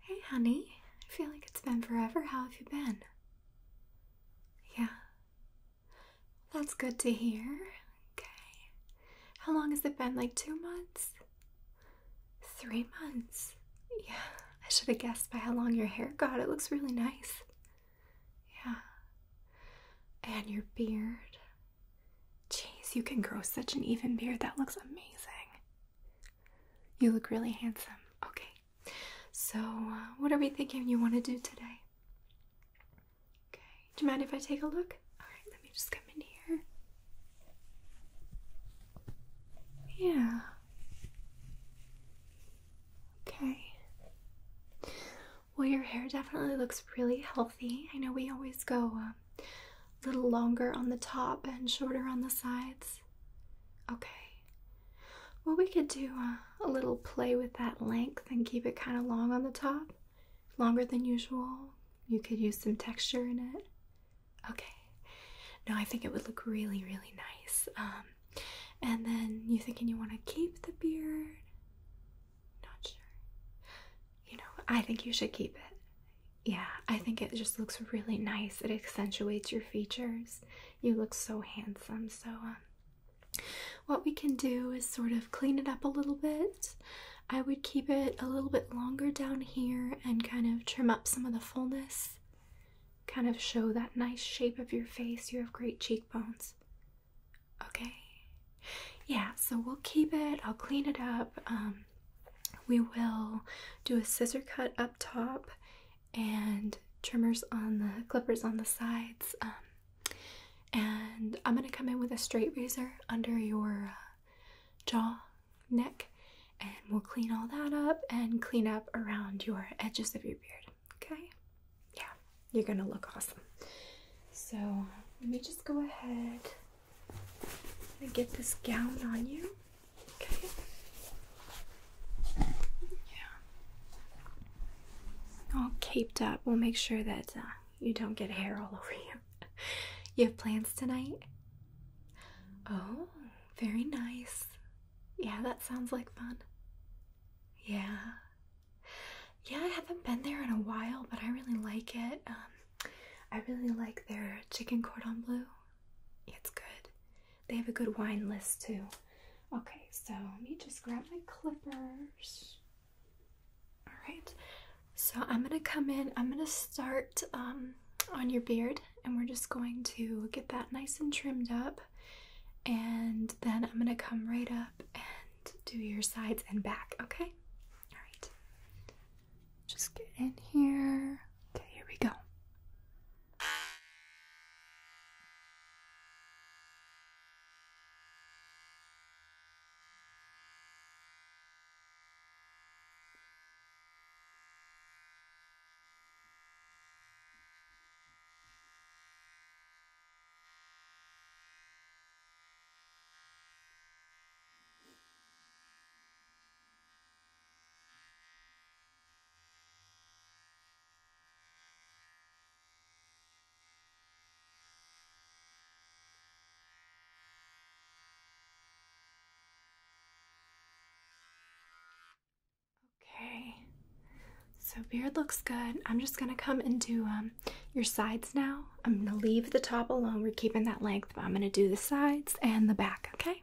Hey, honey. I feel like it's been forever. How have you been? Yeah. That's good to hear. Okay. How long has it been? Like two months? Three months? Yeah. I should have guessed by how long your hair got. It looks really nice. Yeah. And your beard. Jeez, you can grow such an even beard. That looks amazing. You look really handsome. Okay. So, uh, what are we thinking you want to do today? Okay. Do you mind if I take a look? Alright, let me just come in here. Yeah. Okay. Well, your hair definitely looks really healthy. I know we always go uh, a little longer on the top and shorter on the sides. Okay. Well, we could do a, little play with that length and keep it kind of long on the top, longer than usual. You could use some texture in it. Okay. No, I think it would look really, really nice. Um, and then you thinking you want to keep the beard? Not sure. You know, I think you should keep it. Yeah, I think it just looks really nice. It accentuates your features. You look so handsome. So, um, what we can do is sort of clean it up a little bit. I would keep it a little bit longer down here and kind of trim up some of the fullness. Kind of show that nice shape of your face. You have great cheekbones. Okay. Yeah, so we'll keep it. I'll clean it up. Um, we will do a scissor cut up top and trimmers on the clippers on the sides. Um, and I'm going to come in with a straight razor under your uh, jaw, neck, and we'll clean all that up and clean up around your edges of your beard. Okay? Yeah, you're going to look awesome. So let me just go ahead I'm gonna get this gown on you. Okay. Yeah. All caped up. We'll make sure that uh, you don't get hair all over you. you have plans tonight? Oh, very nice. Yeah, that sounds like fun. Yeah. Yeah, I haven't been there in a while, but I really like it. Um, I really like their chicken cordon bleu. It's good. They have a good wine list too. Okay, so let me just grab my clippers. Alright, so I'm gonna come in, I'm gonna start um, on your beard, and we're just going to get that nice and trimmed up. And then I'm gonna come right up and do your sides and back, okay? Alright. Just get in here. Okay, here we go. Okay, so beard looks good. I'm just gonna come into um, your sides now. I'm gonna leave the top alone. We're keeping that length. I'm going to do the sides and the back, okay?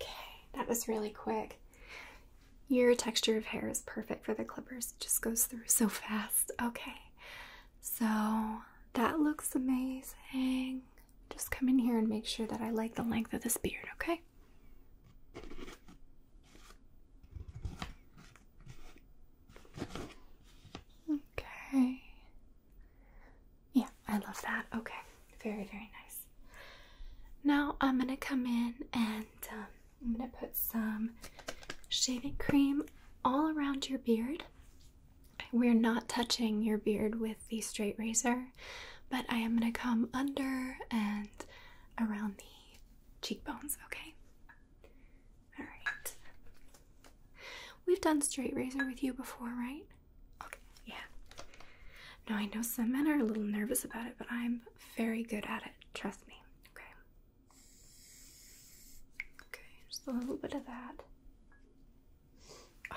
Okay, that was really quick. Your texture of hair is perfect for the clippers. It just goes through so fast. Okay, so that looks amazing. Just come in here and make sure that I like the length of this beard, okay? Okay. Yeah, I love that. Okay. Very, very nice. Now I'm going to come in and um, I'm going to put some shaving cream all around your beard. We're not touching your beard with the straight razor, but I am going to come under and around the cheekbones, okay? Alright. We've done straight razor with you before, right? Okay, yeah. Now I know some men are a little nervous about it, but I'm very good at it, trust me. Okay. Okay, just a little bit of that. Oh,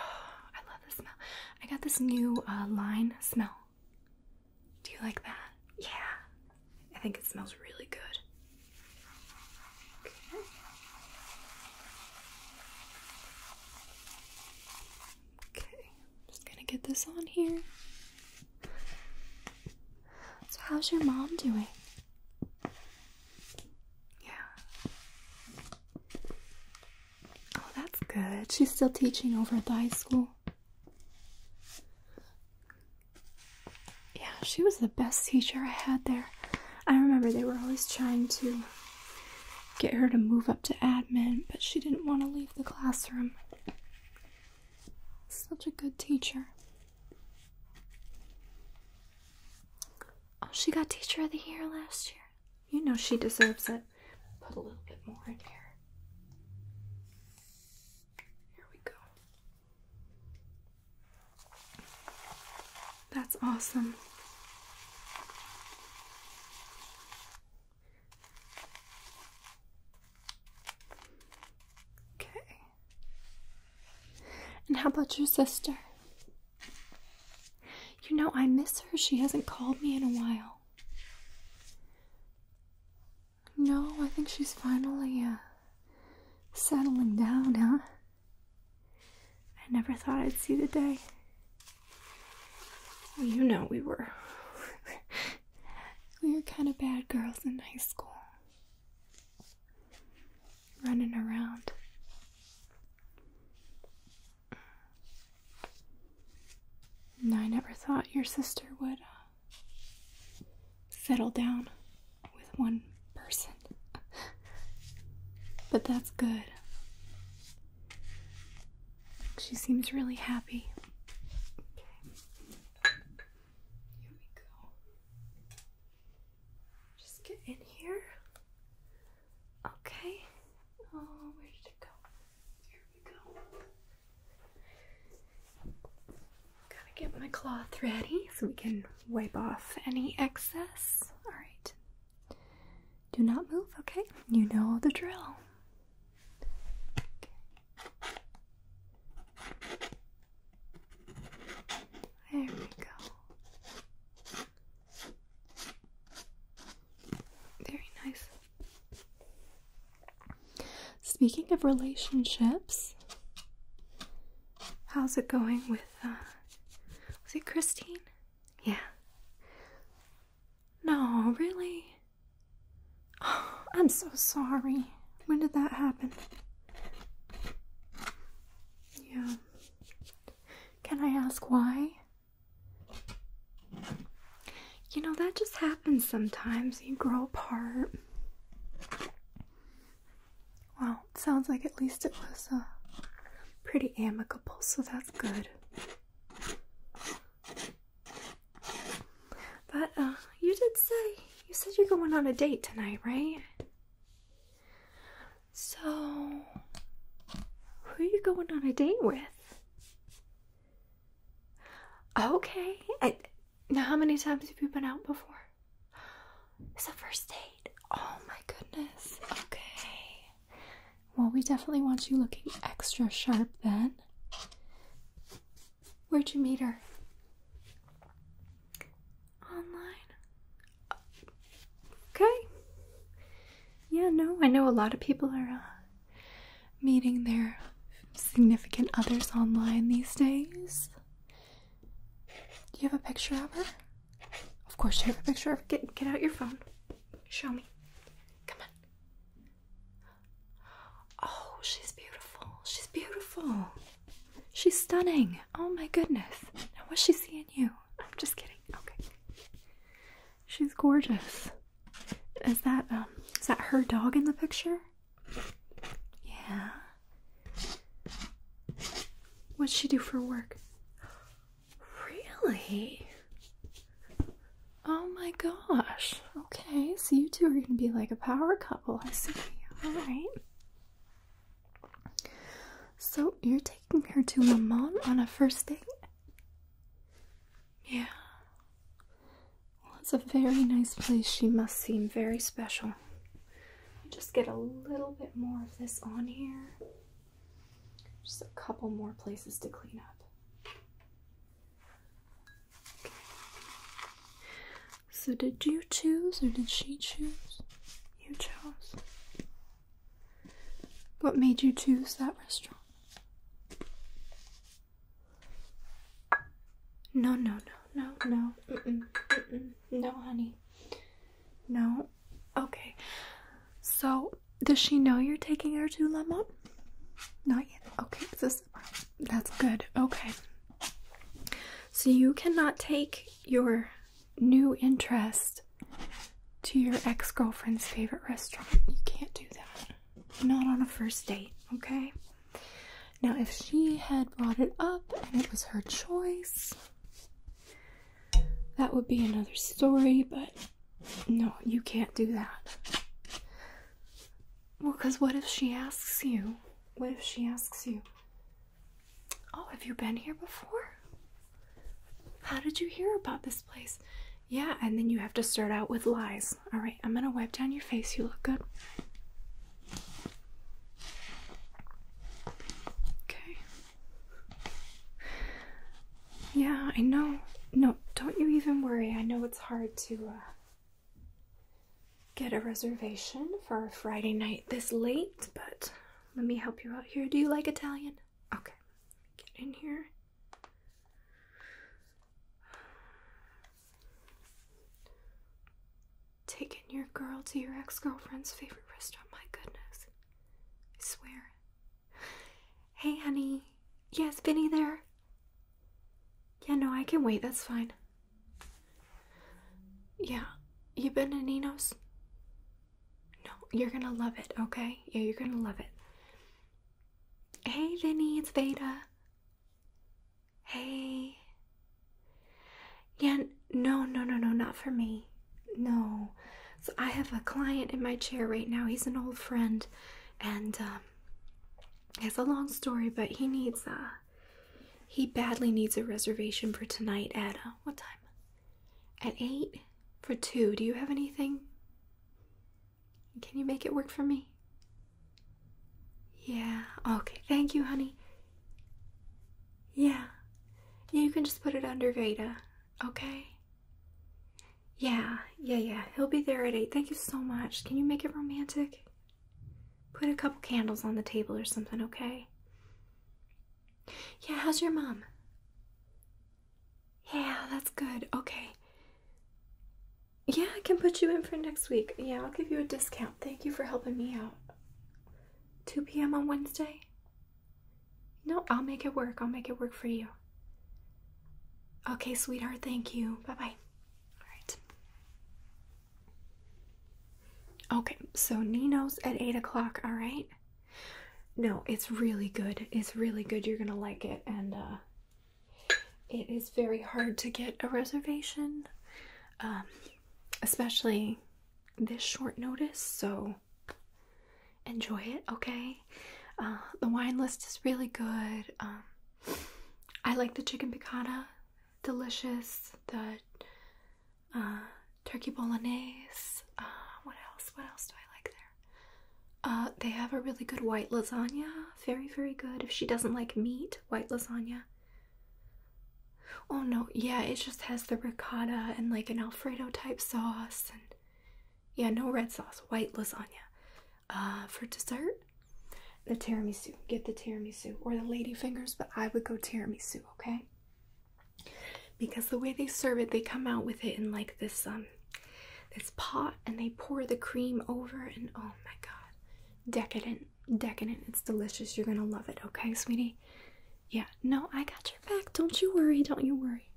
I love the smell. I got this new uh, line smell. Do you like that? Yeah. I think it smells really good. Okay. Okay. I'm just gonna get this on here. So, how's your mom doing? Yeah. Oh, that's good. She's still teaching over at the high school. Yeah, she was the best teacher I had there. I remember they were always trying to get her to move up to admin, but she didn't want to leave the classroom. Such a good teacher. Oh, she got Teacher of the Year last year. You know she deserves it. Put a little bit more in here. Here we go. That's awesome. Okay. And how about your sister? You know, I miss her. She hasn't called me in a while. No, I think she's finally uh, settling down, huh? I never thought I'd see the day. you know, we were. we were kind of bad girls in high school. Running around. I never thought your sister would uh, settle down with one person. but that's good. She seems really happy. Okay. Here we go. Just get in here. Okay. Oh, where did it go? Here we go. Gotta get my cloth ready so we can wipe off any excess. Alright. Do not move, okay? You know the drill. There we go. Very nice. Speaking of relationships, how's it going with, uh, was it Christine? Yeah. No, really? I'm so sorry. When did that happen? Yeah. Can I ask why? You know, that just happens sometimes. You grow apart. Well, sounds like at least it was uh, pretty amicable, so that's good. But uh, you did say, you said you're going on a date tonight, right? So, who are you going on a date with? Okay. now, how many times have you been out before? It's a first date. Oh my goodness. Okay. Well, we definitely want you looking extra sharp then. Where'd you meet her? Online. Okay. Yeah, no, I know a lot of people are uh, meeting their significant others online these days. Do you have a picture of her? Of course, you have a picture of her. Get, get out your phone. Show me. Come on. Oh, she's beautiful. She's beautiful. She's stunning. Oh my goodness. Now, was she seeing you? I'm just kidding. Okay. She's gorgeous. Is that um is that her dog in the picture? Yeah. What's she do for work? Really? Oh my gosh. Okay, so you two are gonna be like a power couple, I see. Alright. So you're taking her to Le Mans on a first date? Yeah. Well, it's a very nice place. She must seem very special. Just get a little bit more of this on here. Just a couple more places to clean up. Okay. So, did you choose or did she choose? You chose. What made you choose that restaurant? No, no, no, no, no. no, honey. No. Okay. So, does she know you're taking her to Lemon? Not yet. Okay, that's good. Okay. So you cannot take your new interest to your ex girlfriend's favorite restaurant. You can't do that. Not on a first date, okay? Now, if she had brought it up and it was her choice, that would be another story, but no, you can't do that. Well, because what if she asks you? What if she asks you, Oh, have you been here before? How did you hear about this place? Yeah, and then you have to start out with lies. All right, I'm gonna wipe down your face. You look good. Okay. Yeah, I know. No, don't you even worry. I know it's hard to uh, get a reservation for a Friday night this late, but let me help you out here. Do you like Italian? Okay, get in here. Taking your girl to your ex girlfriend's favorite restaurant, my goodness. I swear. Hey, honey. Yes, Vinny there? Yeah, no, I can wait. That's fine. Yeah, you been to Nino's? No, you're gonna love it, okay? Yeah, you're gonna love it. Hey, Vinny, it's Veda. Hey. Yeah, no, no, no, no, not for me. No. So I have a client in my chair right now. He's an old friend, and um, it's a long story, but he needs a. Uh, he badly needs a reservation for tonight at uh, what time? At eight? For two, do you have anything? Can you make it work for me? Yeah, okay, thank you, honey. Yeah, you can just put it under Veda, okay? Yeah, yeah, yeah, he'll be there at eight. Thank you so much. Can you make it romantic? Put a couple candles on the table or something, okay? Yeah, how's your mom? Yeah, that's good. Okay. Yeah, I can put you in for next week. Yeah, I'll give you a discount. Thank you for helping me out. 2 p.m. on Wednesday? No, I'll make it work. I'll make it work for you. Okay, sweetheart, thank you. Bye bye. Alright. Okay, so Nino's at 8 o'clock, alright? No, it's really good. It's really good. You're gonna like it, and uh, it is very hard to get a reservation, um, especially this short notice. So enjoy it, okay? Uh, the wine list is really good. Um, I like the chicken piccata, delicious. The uh, turkey bolognese. Uh, what else? What else do I like there? Uh, they have a really good white lasagna. Very, very good. If she doesn't like meat, white lasagna. Oh no, yeah, it just has the ricotta and like an Alfredo type sauce. And yeah, no red sauce, white lasagna. Uh, for dessert, the tiramisu. Get the tiramisu or the lady fingers, but I would go tiramisu, okay? because the way they serve it, they come out with it in like this um this pot and they pour the cream over and oh my god. Decadent, decadent. It's delicious. You're gonna love it, okay, sweetie? Yeah, no, I got your back. Don't you worry, don't you worry.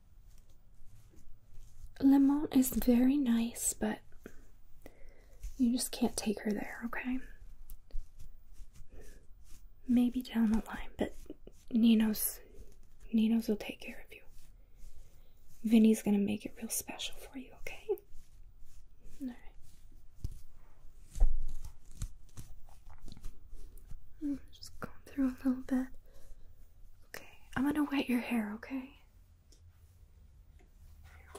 Lemon is very nice, but you just can't take her there, okay? Maybe down the line, but Nino's Nino's. will take care of you. Vinny's gonna make it real special for you, okay? Alright. Mm, just going through a little bit. Okay, I'm gonna wet your hair, okay?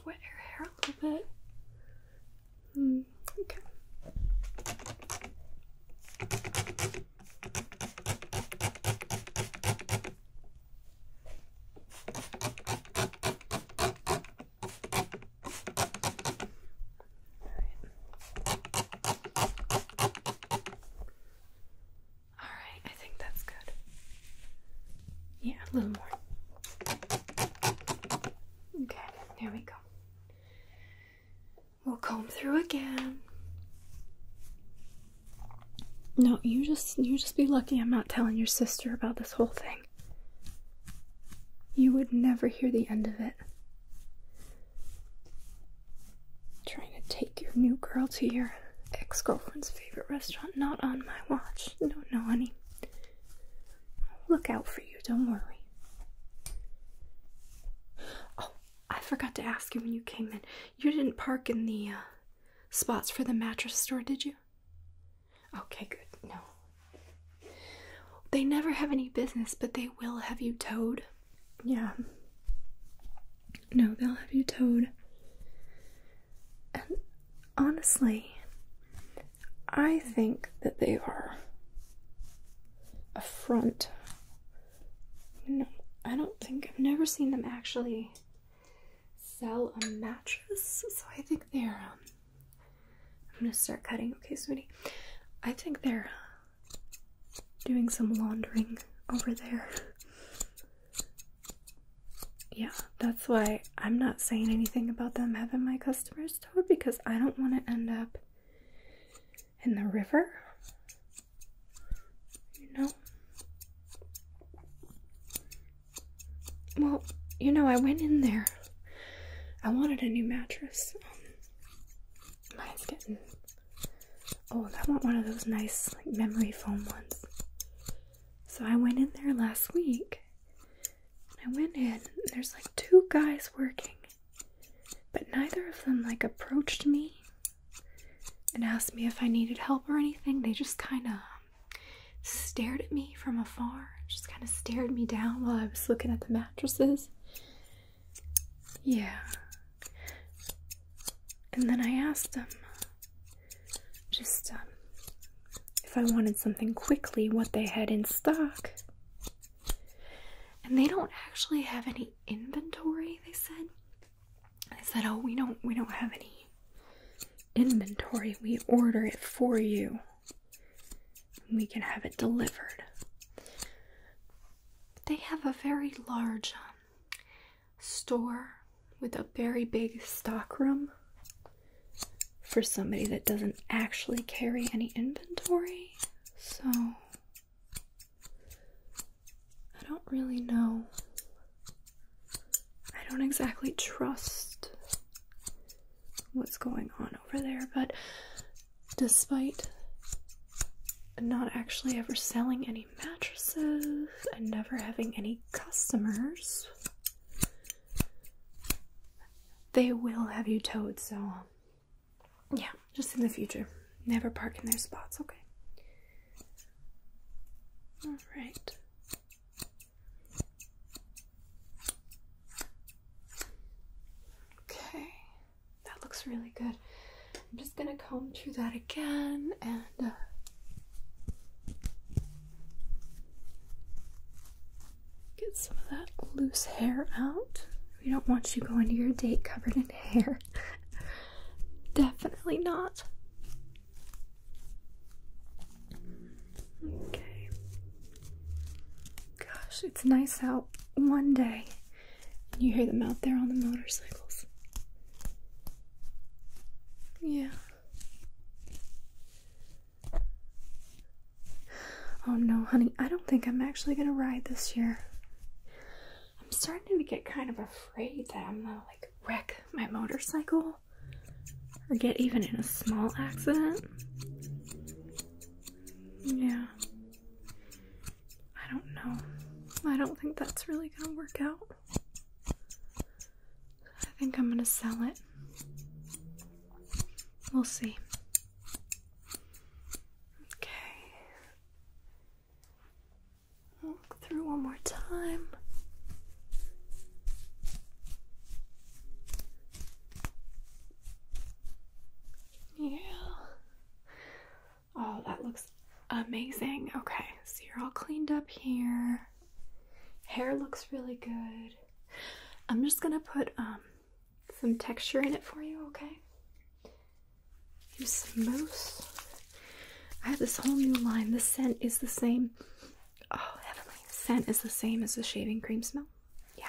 Wet your hair a little bit. Mm, okay. All right, I think that's good. Yeah, a little more. Okay, there we go. We'll comb through again. No, you just you just be lucky I'm not telling your sister about this whole thing. You would never hear the end of it. Trying to take your new girl to your ex-girlfriend's favorite restaurant, not on my watch. No, no, honey. I'll look out for you, don't worry. Oh, I forgot to ask you when you came in. You didn't park in the uh, spots for the mattress store, did you? Okay, good. No. They never have any business, but they will have you towed. Yeah. No, they'll have you towed. And honestly, I think that they are a front no, I don't think I've never seen them actually sell a mattress. So I think they're. Um, I'm gonna start cutting. Okay, sweetie. I think they're uh, doing some laundering over there. Yeah, that's why I'm not saying anything about them having my customers told because I don't want to end up in the river. You know? Well, you know, I went in there. I wanted a new mattress. Um, mine's getting old. I want one of those nice memory foam ones. So I went in there last week. I went in, and there's like two guys working. But neither of them like approached me and asked me if I needed help or anything. They just kind of stared at me from afar, just kind of stared me down while I was looking at the mattresses. Yeah. And then I asked them just um, if I wanted something quickly, what they had in stock. And they don't actually have any inventory, they said. They said, "Oh, we don't we don't have any inventory. We order it for you. We can have it delivered." They have a very large um, store with a very big stockroom for somebody that doesn't actually carry any inventory. So I don't really know. I don't exactly trust what's going on over there, but despite not actually ever selling any mattresses and never having any customers, they will have you towed, so yeah, just in the future. Never park in their spots, okay? All right. Okay, that looks really good. I'm just gonna comb through that again and. Uh, get some of that loose hair out. We don't want you going to your date covered in hair. Definitely not. Okay. Gosh, it's nice out one day, and you hear them out there on the motorcycles. Yeah. Oh no, honey, I don't think I'm actually gonna ride this year. I'm starting to get kind of afraid that I'm gonna like wreck my motorcycle or get even in a small accident. Yeah. I don't know. I don't think that's really gonna work out. I think I'm gonna sell it. We'll see. Okay. Look through one more time. Yeah. Oh, that looks amazing. Okay, so you're all cleaned up here. Hair looks really good. I'm just gonna put um some texture in it for you, okay? Here's some mousse. I have this whole new line. The scent is the same. Oh, heavenly. The scent is the same as the shaving cream smell. Yeah.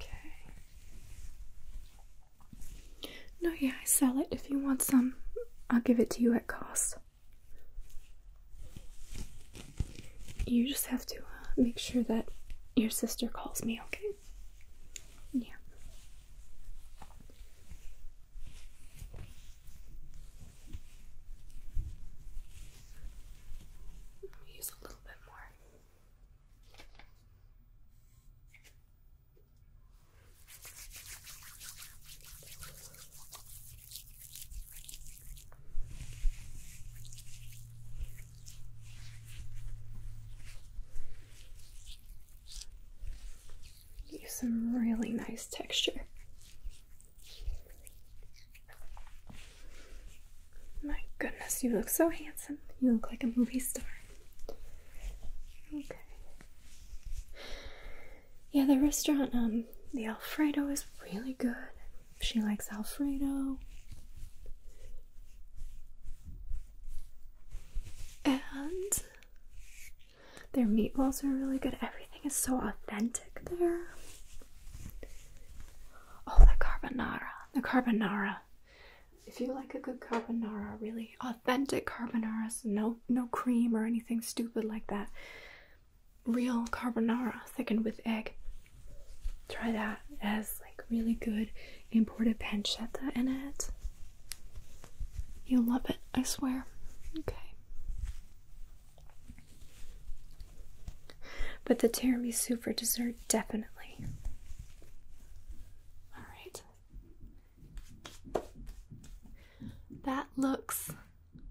Okay. No, yeah, I sell it. If you want some, I'll give it to you at cost. You just have to uh, make sure that your sister calls me, okay? Yeah. Use a little bit more some really nice texture. My goodness, you look so handsome. You look like a movie star. Okay. Yeah, the restaurant, um, the Alfredo is really good. She likes Alfredo. And their meatballs are really good. Everything is so authentic there. Oh, the carbonara. The carbonara. If you like a good carbonara, really authentic carbonara, no no cream or anything stupid like that. Real carbonara thickened with egg try that as like really good imported pancetta in it. You'll love it, I swear. Okay. But the tiramisu for dessert, definitely. Alright. That looks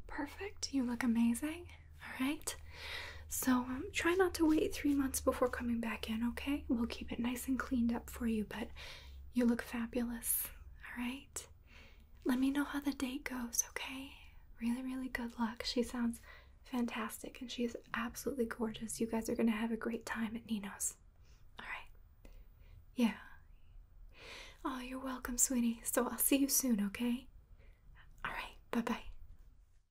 perfect. You look amazing. Alright. So um, try not to wait three months before coming back in, okay? We'll keep it nice and cleaned up for you, but you look fabulous, all right? Let me know how the date goes, okay? Really, really good luck. She sounds fantastic and she is absolutely gorgeous. You guys are going to have a great time at Nino's, all right? Yeah. Oh, you're welcome, sweetie. So I'll see you soon, okay? All right, bye bye.